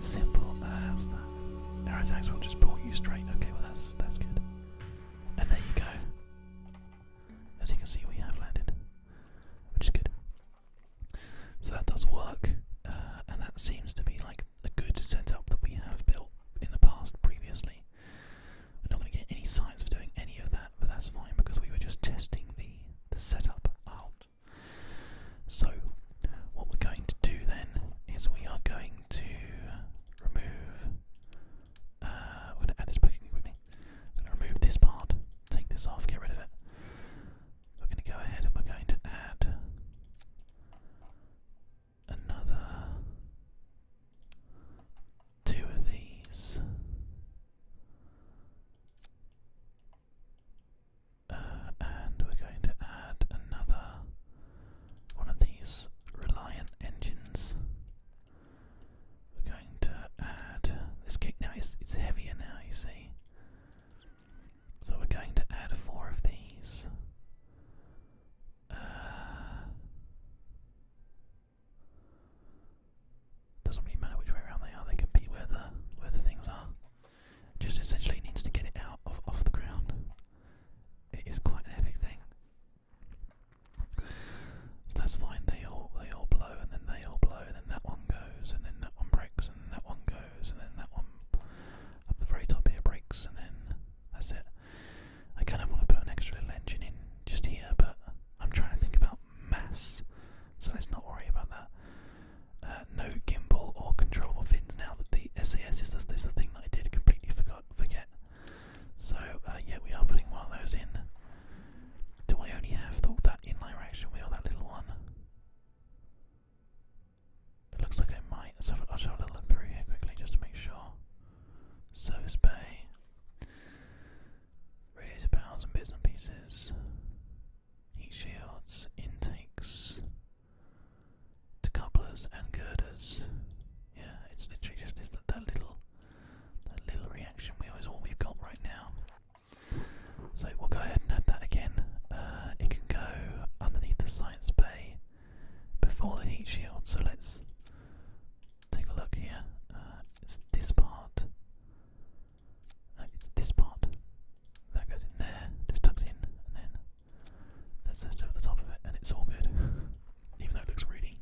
Simple as that. Artifacts will just pull you straight. Okay, well that's that's good. And there you go. As you can see, we have landed, which is good. So that does work, uh, and that seems to be like a good setup that we have built in the past previously. We're not going to get any science for doing any of that, but that's fine because we were just testing the the setup out. So what we're going to do then is we are going to remove. Uh, we're going to add this back in remove this part, take this off, get rid of it. We're going to go ahead and we're going to add another two of these. Uh, and we're going to add another one of these Reliant engines. We're going to add this cake now, it's, it's heavier now, you see. So we're going to add four of these uh, doesn't really matter which way around they are, they compete where the where the things are. Just essentially needs to get it out of off the ground. It is quite an epic thing. So that's fine, they all they all blow and then they all blow and then that one goes and then that one breaks and that one goes and then that one up the very top here breaks and then that's it. I kind of want to put an extra little engine in just here, but I'm trying to think about mass, so let's not worry about that. Uh, no gimbal or controllable fins now that the SAS is this. is the thing that I did completely forgot, forget. So, uh, yeah, we are putting one of those in. Do I only have the, that inline reaction wheel, that little one? It looks like I might. have, I'll just have a little look through here quickly just to make sure. Service bay. Radiator panels and bits pieces. Heat shields, intakes, decouplers and girders. Yeah, it's literally just this that, little that little reaction wheel is all we've got right now. So we'll go ahead and add that again. Uh, it can go underneath the science bay before the heat shield. So let's take a look here. Uh, it's this part. No, it's this part. That goes in there, just tucks in, and then that's just over the top of it, and it's all good. Even though it looks really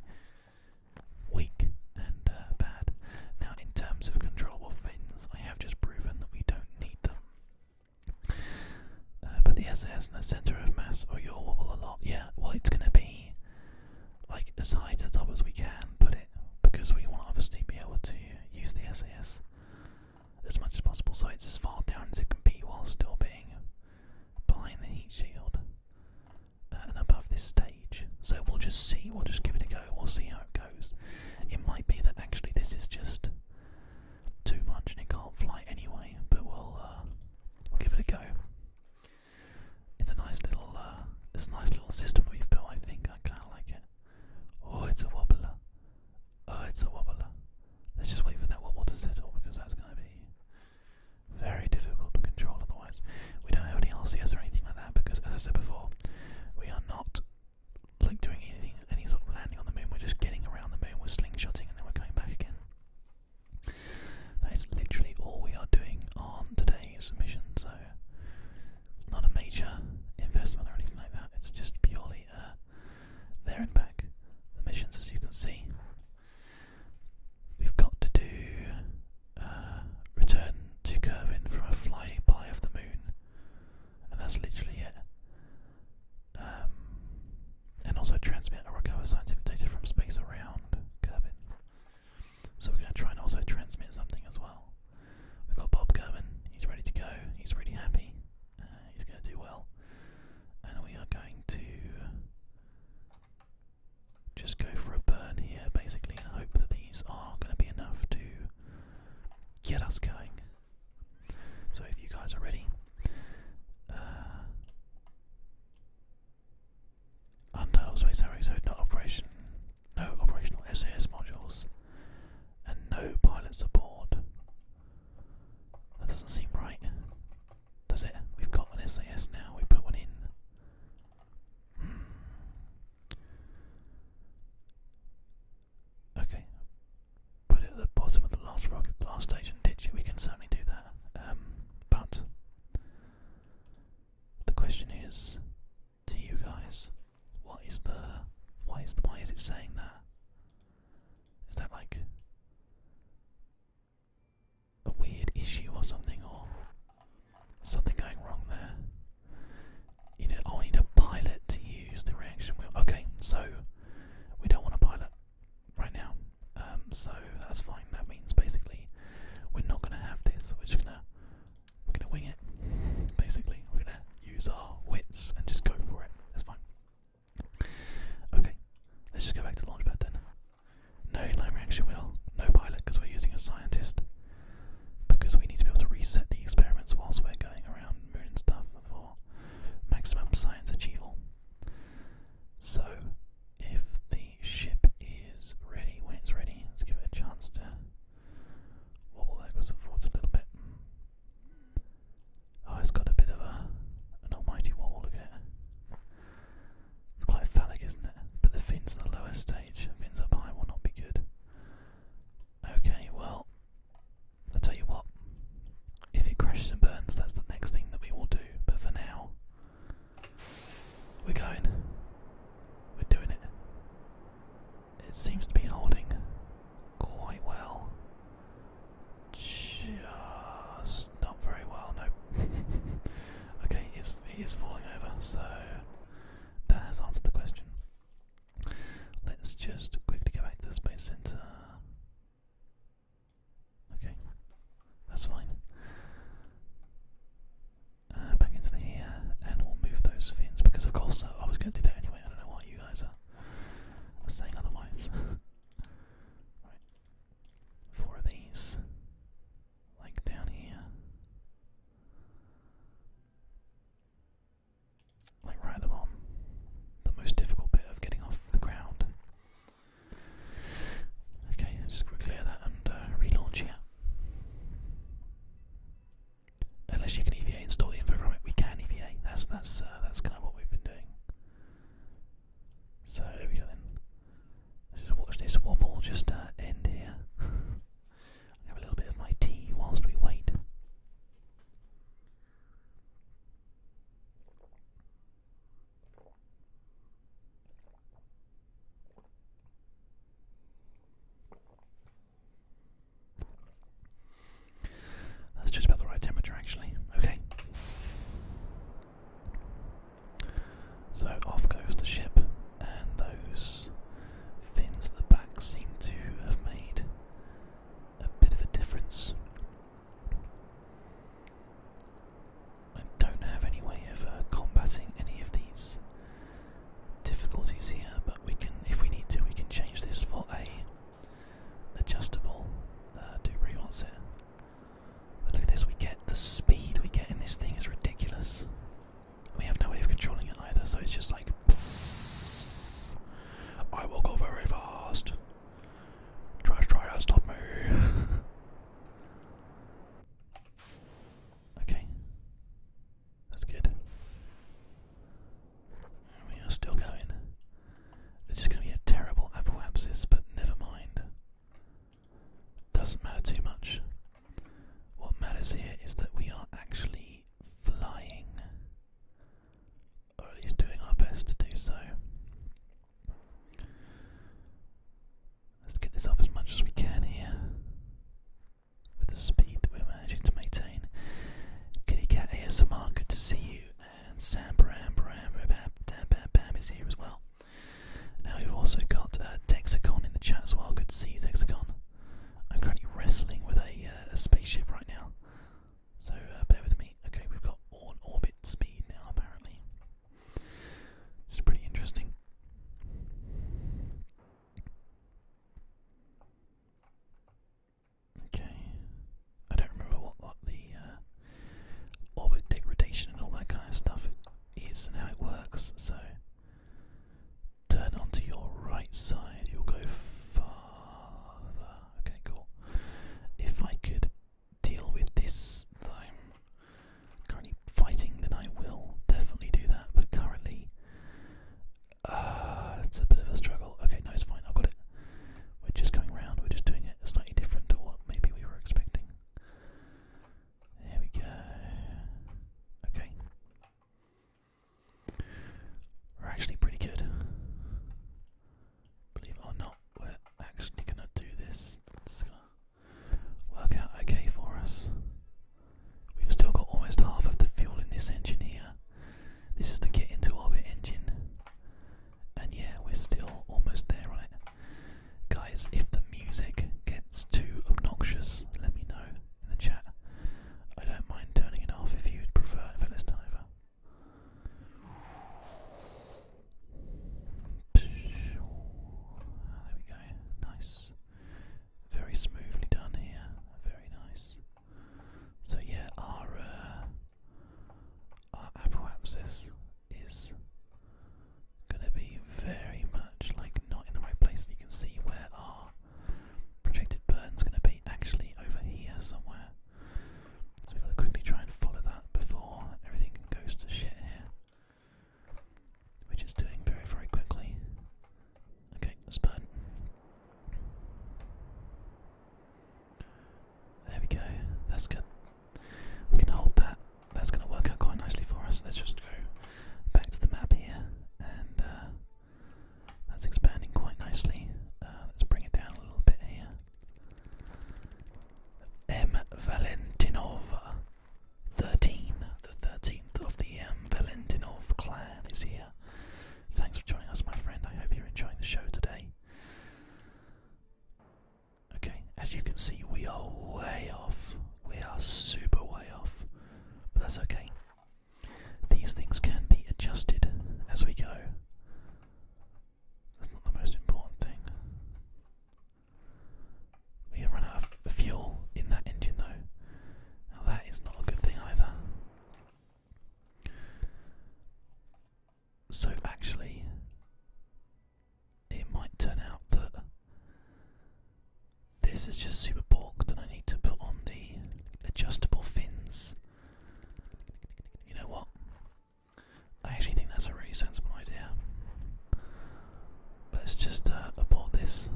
weak and uh, bad. Now, in terms of controllable fins, I have just proven that we don't need them. Uh, but the SS in the center of mass, or you a lot. Yeah, well, it's going to be like as high to the top as we can put it, because we want obviously be able to use the SAS as much as possible, so it's as far down as it can be while still being behind the heat shield uh, and above this stage. So we'll just see, we'll just give it a go, we'll see how it goes. It might be that actually this is just too much and it can't fly anyway, but we'll, uh, we'll give it a go. It's a nice little, uh, it's a nice little system we've built, I think. I kind of like it. Oh, it's a wobbler. Oh, it's a wobbler. Let's just wait for that wobble to settle because that's going to be very difficult to control otherwise. We don't have any LCS or anything like that because, as I said before, we are not like doing anything any sort of landing on the moon. We're just getting around the moon. We're slingshotting, and then we're going back again. That is literally all we are doing on today's mission. So it's not a major investment or anything like that. It's just purely uh, there and back. The missions, as you can see, we've got to do uh, return to Kervin from a flyby of the moon, and that's literally it. Um, and also transmit or recover scientific data from space around Kerbin. So we're going to try and also transmit something as well. We've got Bob Kerbin, he's ready to go, he's really happy, uh, he's going to do well. And we are going to just go for a burn here basically and hope that these are going to be enough to get us going. So if you guys are ready, uh, Untitled Space Harry, so operation, no operational SAS modules, and no pilots aboard. That doesn't seem right, does it? We've got an SAS now, we put one in. Hmm. Okay. Put it at the bottom of the last rock the last stage and ditch we can certainly do that. Um, but the question is to you guys, what is the why is why is it saying that? Is that like a weird issue or something or something going wrong there? You know, I need a pilot to use the reaction wheel. Okay, so we don't want a pilot right now. Um, so that's fine. That means basically we're not going to have this. We're just going to we're going to wing it. Basically, we're going to use our wits and just go for it. That's fine. Okay, let's just go back to the launchpad then. No inline reaction wheel, no pilot because we're using a scientist. Because we need to be able to reset the experiments whilst we're going around moon and stuff for maximum science achievable. So, if the ship is ready, when it's ready, let's give it a chance to wobble backwards and forwards a little bit. Oh, it's got a bit of a an almighty wobble, look at it. It's quite phallic, isn't it? But the fins in the lower stage, fins up high will not be good. Okay, well, I tell you what, if it crashes and burns, that's the next thing that we will do. But for now, we're going. We're doing it. It seems to be holding quite well. Just not very well, no. okay, it is, it is falling over, so that has answered the question. Let's just quickly go back to the Space Center. Okay, that's fine. Uh, back into the here, and we'll move those fins because, of course, uh, I was going to do that anyway. I don't know why you guys are, saying otherwise. four of these, like down here like right at the bottom, the most difficult bit of getting off the ground. Okay, just clear that and uh, relaunch here. Unless you can EVA install the info we can EVA. That's that's uh, that's kind of what we've been doing. So there we go then. just watch this wobble just uh, end here. Have a little bit of my tea whilst we wait. That's just about the right temperature, actually. Okay. So off goes the ship, and those fins at the back seem to have made a bit of a difference. I don't have any way of uh, combating any of these difficulties here, but we can, if we need to, we can change this for a adjustable uh, do rewants here. But look at this, we get the speed we get in this thing is ridiculous. We have no way of controlling it either, so it's just like. I will go very fast. Trash try to stop me. okay. That's good. We are still going. This is going to be a terrible apoapsis, but never mind. Doesn't matter too much. What matters here is that we are actually flying, or at least doing our best to do so. Let's get this up as much as we can here with the speed that we're managing to maintain. Kitty Cat ASMR, good to see you, and Sam Bram Bam Bam Bam Bam is here as well. Now we've also got Texicon uh, in the chat as well. Good to see Texicon. I'm currently wrestling with a, uh, spaceship right now, so uh, bear with me. Okay, we've got on orbit speed now, apparently. Which pretty interesting. Okay, I don't remember what, what the uh, orbit degradation and all that kind of stuff is and how it works, so Turn onto your right side, you'll go farther. Okay, cool. If I could deal with this that currently fighting, then I will definitely do that. But currently, uh, it's a bit of a struggle. Okay, no, it's fine. I've got it. We're just going round. We're just doing it slightly different to what maybe we were expecting. There we go. Okay. We're actually pretty good. Believe it or not, we're actually gonna do this. It's okay for us. We've still got almost half of the fuel in this engine here. This is the get into orbit engine. And yeah, we're still almost there on Guys, if the music gets too obnoxious, let me know in the chat. I don't mind turning it off if you'd prefer if it's done over. There we go. Nice. Very smoothly done here. Very nice. So yeah, our uh, our Apple is gonna be very much like not in the right place. You can see where our projected burn's gonna be actually over here somewhere. So we've got to quickly try and follow that before everything goes to shit here. Which is doing very, very quickly. Okay, that's us burn. There we go. That's good. We can hold that that's going to work out quite nicely for us. Let's just go back to the map here, and uh, that's expanding quite nicely. Uh, let's bring it down a little bit here. M. Valentinova, 13, the 13th of the M. Um, Valentinov clan is here. Thanks for joining us, my friend. I hope you're enjoying the show today. Okay, as you can see, we are way off we are super way off, but that's okay. These things can be adjusted as we go. That's not the most important thing. We have run out of fuel in that engine though. Now that is not a good thing either. So actually, it might turn out that this is just super balked and I need to put on the adjustable fins. You know what? I actually think that's a really sensible idea. Let's just uh, abort this.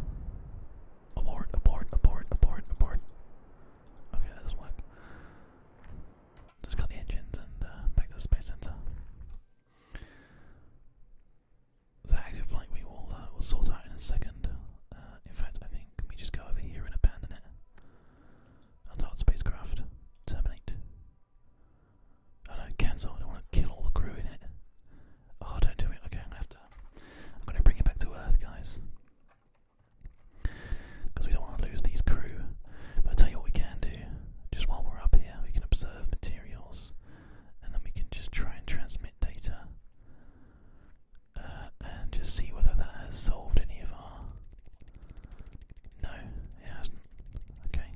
Abort, abort, abort, abort, abort. Okay, that does Just cut the engines and uh, the space center. The active flank we uh, will, sort out in a second. Uh, in fact, I think we just go over here and abandon it. Antarctic spacecraft. Terminate. Oh, no, cancel. I don't want to kill all the crew in it. Oh, don't do it. Okay, I'm gonna have to. I'm gonna bring it back to Earth, guys. Because we don't want to lose these crew. But I'll tell you what we can do. Just while we're up here, we can observe materials and then we can just try and transmit data uh, and just see whether that has solved any of our. No, it hasn't. Okay.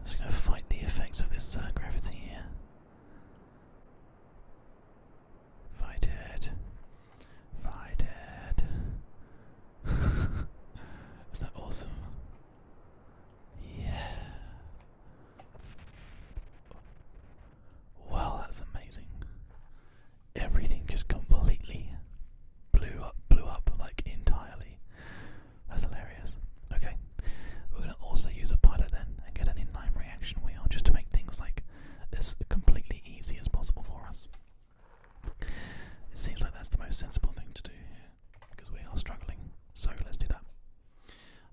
i just going to fight the effects of this uh, gravity here. Fight it. Fight it. is that awesome? Yeah. Wow, that's amazing. Everything just completely blew up, blew up like entirely. That's hilarious. Okay, we're gonna also use a pilot then and get an inline reaction wheel just to make things like as completely easy as possible for us. It seems like that's the most sensible thing to do here, because we are struggling, so let's do that.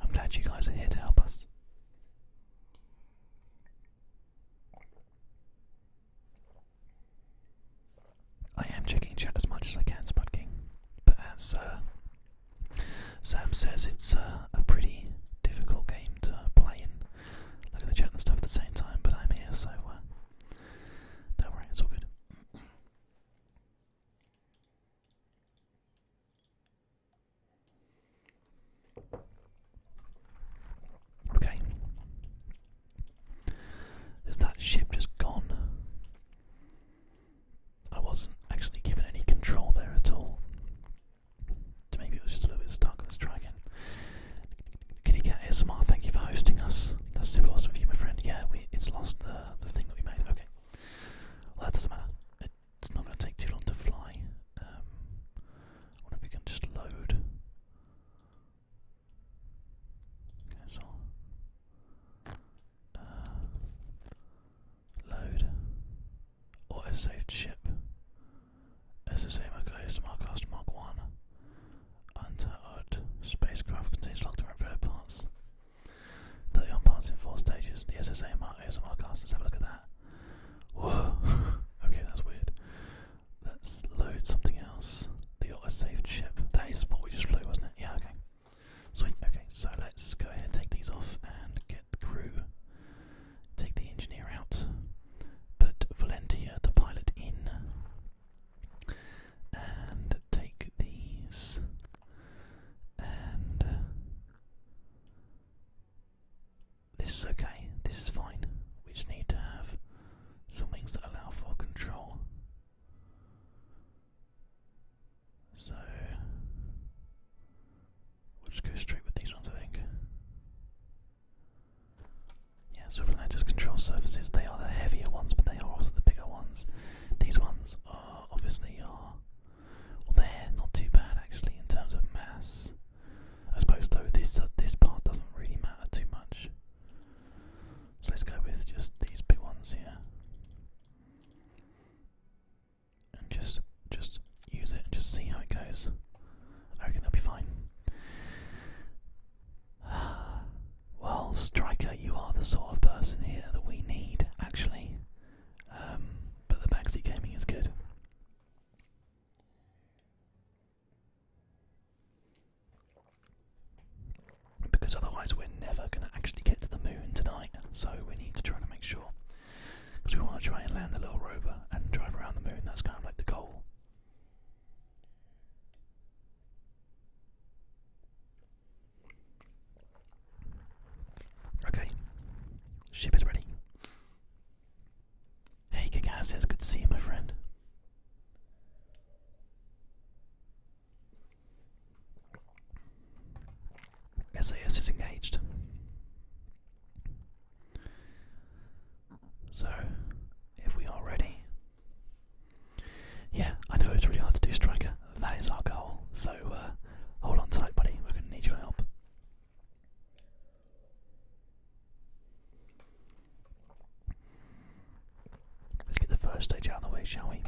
I'm glad you guys are here to help us. I am checking chat as much as I can, Spud King, but as uh, Sam says, it's uh, a pretty difficult game to play in. Look at the chat and stuff at the same time, but I'm here, so uh, don't worry, it's all good. Okay. Is that ship just gone? I wasn't actually given any control there at all. Maybe it was just a little bit stuck. Let's try again. Kitty Cat ASMR, thank you for hosting us. That's super awesome of you, my friend. Yeah, we it's lost the the thing that we made. Okay, well that doesn't matter. It's not going to take too long to fly. Um, wonder if we can just load. Okay, so uh, load auto saved ship. SSA Smartcast Mark 1 Untethered spacecraft contains locked and unfitted parts. on parts in 4 stages. The SSA Smartcast, let's a look at that. Whoa! okay, that's weird. Let's load something else. The auto-saved ship. That is what we just flew, wasn't it? Yeah, okay. Sweet, okay, so let's go ahead and take these off and get the crew. Take the engineer out put Valentia the pilot in and take these and uh, this is okay, this is fine. We just need to have some things that allow for control. So we'll just go straight with these ones I think. Yeah, swivel letters control surfaces. They are the heavier ones, but they are also the bigger ones. These ones are obviously are uh, well, not too bad actually in terms of mass. I suppose though this uh, this part doesn't really matter too much. So let's go with just these big ones here, and just just use it and just see how it goes. I reckon they'll be fine. well, striker, you are the sort of person here that we need, actually. Um, but the backseat gaming is good. Because otherwise, we're never going to actually get to the moon tonight, so we need to try and make sure. Because we want to try and land the little rover and drive around the moon, that's kind of like the goal. Okay, ship is ready. Hey, Kakaz good to see you, my friend. SAS is engaged. So, if we are ready, yeah, I know it's really hard to do striker. That is our goal. So, uh, hold on tight, buddy. We're gonna need your help. Let's get the first stage out of the way, shall we?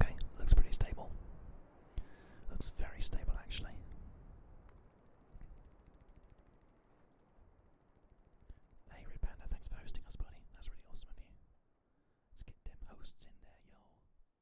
Okay, looks pretty stable. Looks very stable actually. Hey Red thanks for hosting us, buddy. That's really awesome of you. Let's get them hosts in there, yo. Right.